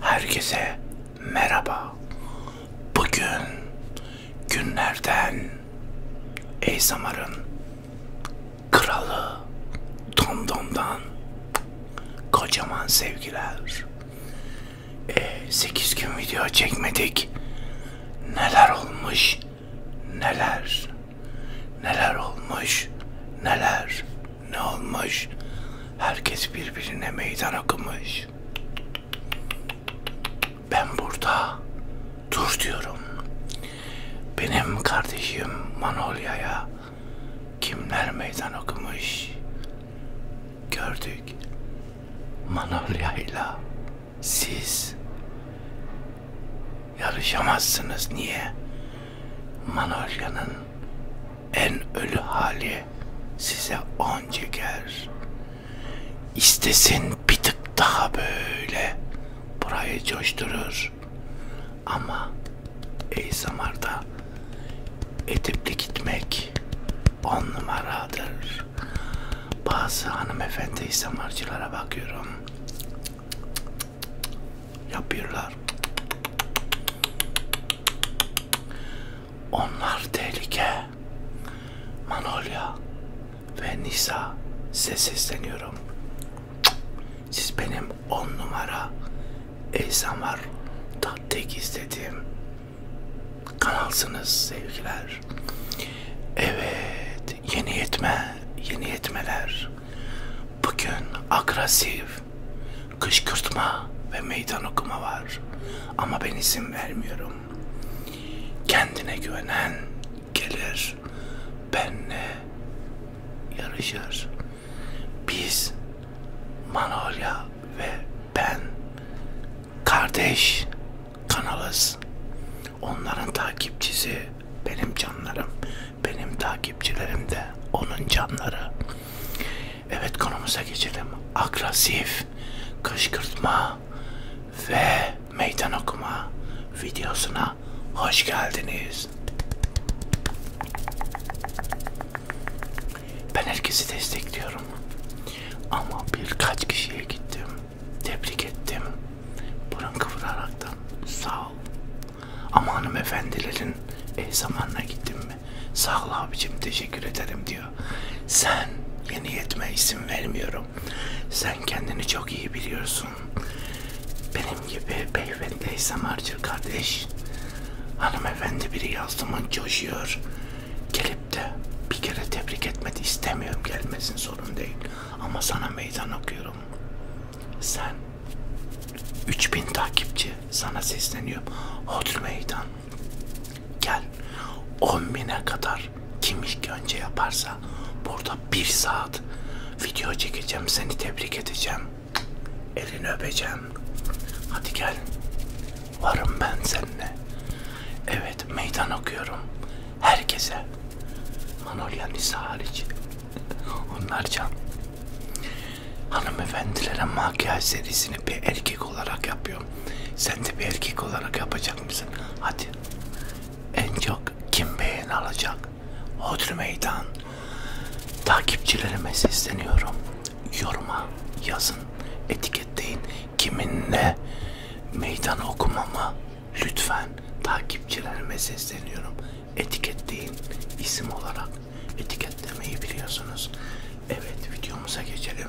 Herkese merhaba. Bugün günlerden ASMR'ın kralı Tom Dom'dan kocaman sevgiler. E, 8 gün video çekmedik. Neler olmuş? Neler? Neler olmuş? Neler? Ne olmuş? Herkes birbirine meydan okumuş. Ben burada dur diyorum. Benim kardeşim Manolya'ya kimler meydan okumuş? Gördük. Manolya'yla siz yarışamazsınız. Niye? Manolya'nın en ölü hali size on çeker. İstesin bir tık daha böyle burayı coşturur. Ama ey zamarda edipli gitmek on numaradır. Bazı hanımefendi samarcılara bakıyorum. Cık cık cık yapıyorlar. Onlar tehlike. Manolya ve Nisa size sesleniyorum. Siz benim on numara Eysamar Tatlık istediğim kanalsınız sevgiler. Evet yeni yetme yeni yetmeler Bugün agresif, kışkırtma ve meydan okuma var. Ama ben izin vermiyorum. Kendine güvenen gelir, benle yarışır. Biz, Manolya ve ben kardeş kanalız. Onların takipçisi benim canlarım. Benim takipçilerim de onun canları. Evet konumuza geçelim. Agresif, kışkırtma ve meydan okuma videosuna hoş geldiniz. Ben herkesi destekliyorum. Ama birkaç kişiye gittim. Tebrik ettim. Burun kıvıraraktan sağ ol. Ama hanımefendilerin eş zamanına gittim mi? Sağ ol abicim teşekkür ederim diyor. Sen yeni yetme isim vermiyorum. Sen kendini çok iyi biliyorsun. Benim gibi beyefendi eş zamarcı kardeş. Hanımefendi biri yazdımın coşuyor. Gelip de bir kere tebrik etmedi istemiyorum gelmesin sorun değil. Ama sana meydan okuyorum. Sen 3000 takipçi sana sesleniyorum. Hodri meydan. Gel 10 bine kadar kim ilk önce yaparsa burada bir saat video çekeceğim. Seni tebrik edeceğim. Elini öpeceğim. Hadi gel. Varım ben seninle. Evet meydan okuyorum. Herkese. Manolya Nisa hariç. Onlar can. Hanımefendilere makyaj serisini bir erkek olarak yapıyorum. Sen de bir erkek olarak yapacak mısın? Hadi. En çok kim beğeni alacak? Hodri meydan. Takipçilerime sesleniyorum. Yoruma yazın. Etiketleyin. Kiminle meydan okumamı lütfen takipçilerime sesleniyorum etiketleyin isim olarak etiketlemeyi biliyorsunuz. Evet videomuza geçelim.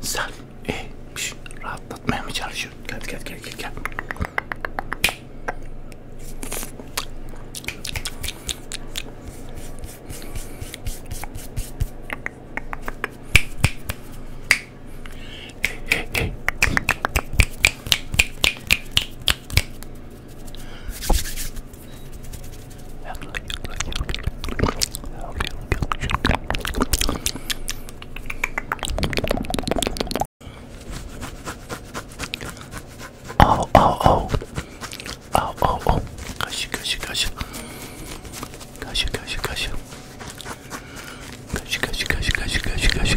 Sen iyiymiş. E, rahatlatmaya mı çalışıyorsun? Gel gel gel gel gel. 아오오오오오오오 가시 가시 가시 가시 가시 가시 가시 가시 가시 가시 가시 가시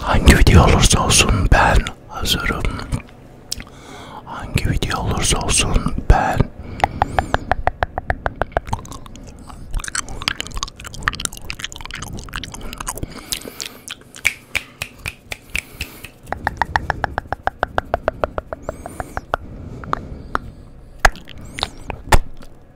Hangi video olursa olsun ben hazırım. Hangi video olursa olsun ben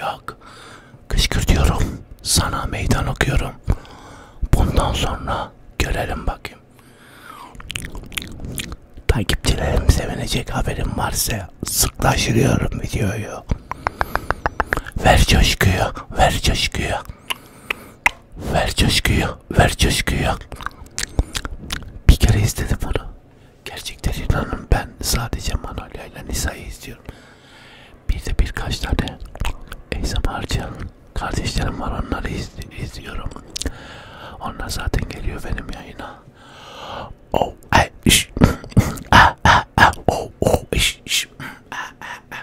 Yok. Kışkırtıyorum. Sana meydan okuyorum. Bundan sonra görelim bakayım. Takipçilerim sevinecek haberim varsa sıklaştırıyorum videoyu. Ver coşkuyu, ver coşkuyu. Ver coşkuyu, ver coşkuyu. Bir kere istedi bunu. Gerçekten inanın ben sadece Manolya ile Nisa'yı istiyorum. Bir de birkaç tane ASMR'cı kardeşlerim var onları izliyorum. Onlar zaten geliyor benim yayına. Oh, ay, iş. ah, ah, ah, oh, oh, iş, iş. Ah, ah, ah.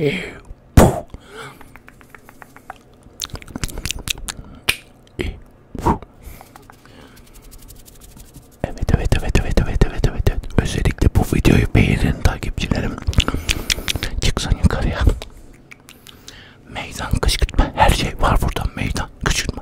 Evet evet evet evet evet evet evet evet özellikle bu videoyu beğenin takipçilerim çıksın yukarıya meydan kışkırtma her şey var burada meydan kışkırtma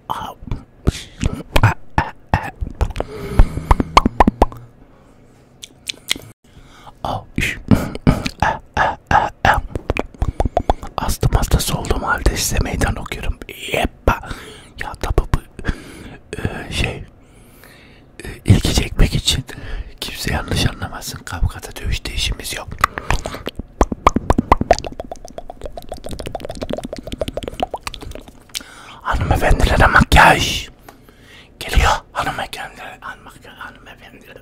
Astım hastası olduğum halde size meydan okuyorum. Yeppa. Ya tabi bu e, şey e, ilgi çekmek için kimse yanlış anlamasın. Kavgada dövüşte işimiz yok. Hanımefendilere makyaj geliyor. Hanımefendilere hanımefendilere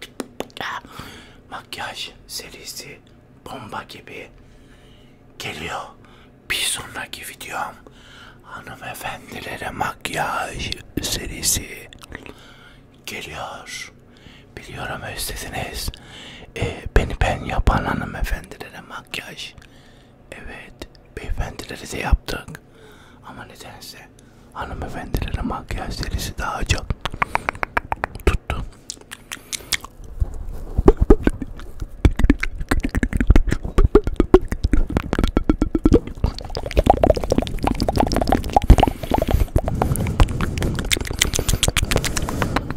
makyaj serisi bomba gibi geliyor. Bir sonraki videom hanımefendilere makyaj serisi geliyor. Biliyorum özlediniz e, beni ben yapan hanımefendilere makyaj evet beyefendilere de yaptık ama nedense hanımefendilere makyaj serisi daha çok tuttu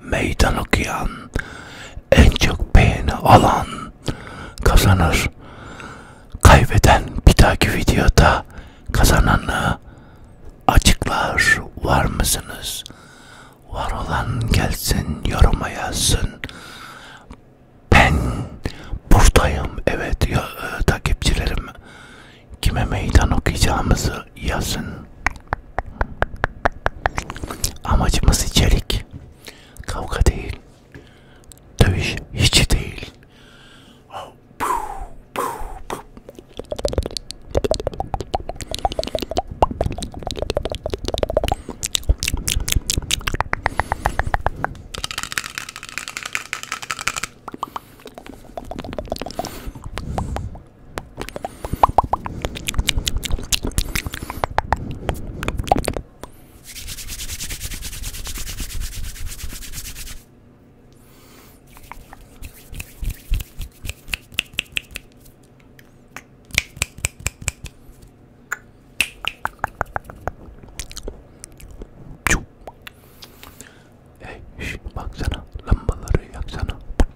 meydan okuyan, en çok beğeni alan kazanır. Kaybeden bir dahaki videoda kazananı açıklar var mısınız? Var olan gelsin yoruma yazsın. Ben buradayım evet ya, e, takipçilerim. Kime meydan okuyacağımızı yorumlarınızı yazın. Amacımız içerik. Kavga değil. Dövüş hiç değil. Hey şş, baksana lambaları yaksana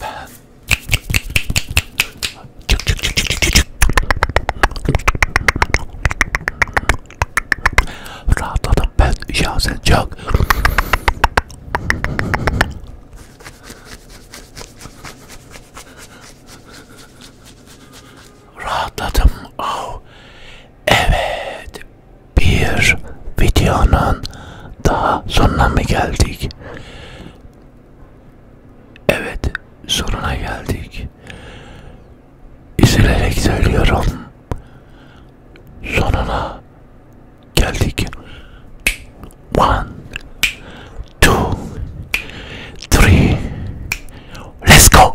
Ben rahatladım ben şahsen çok. Rahatladım. Oh. Evet bir videonun daha sonuna mı geldik? Evet, sonuna geldik. İzleyerek söylüyorum. Sonuna geldik. One, two, three. Let's go.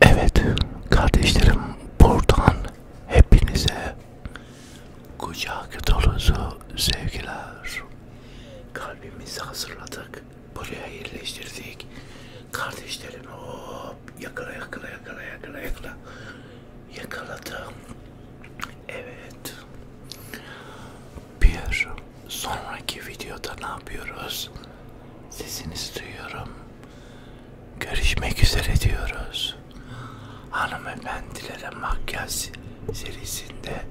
Evet kardeşlerim buradan hepinize kucak dolusu sevgiler. Kalbimizi hazırladık. Buraya yerleştirdik. Kardeşlerim hop yakala yakala yakala yakala yakala. Yakaladım. Evet. Bir sonraki videoda ne yapıyoruz? Sesinizi duyuyorum. Görüşmek üzere diyoruz. Hanımefendilere makyaj serisinde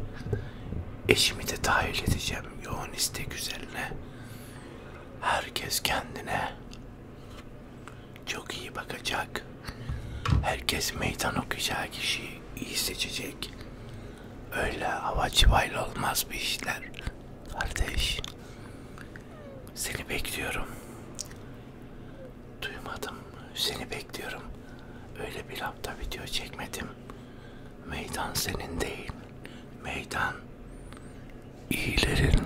Eşimi de dahil edeceğim yoğun istek üzerine. Herkes kendine çok iyi bakacak. Herkes meydan okuyacağı kişiyi iyi seçecek. Öyle hava civayla olmaz bu işler. Kardeş, seni bekliyorum. Duymadım, seni bekliyorum bekliyorum. Öyle bir hafta video çekmedim. Meydan senin değil. Meydan iyilerin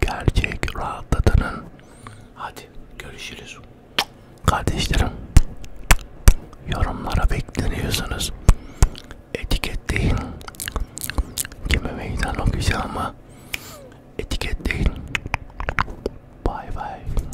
gerçek rahatladının. Hadi görüşürüz. Kardeşlerim yorumlara bekleniyorsunuz. Etiketleyin. Kime meydan okuyacağımı etiketleyin. Bay bay.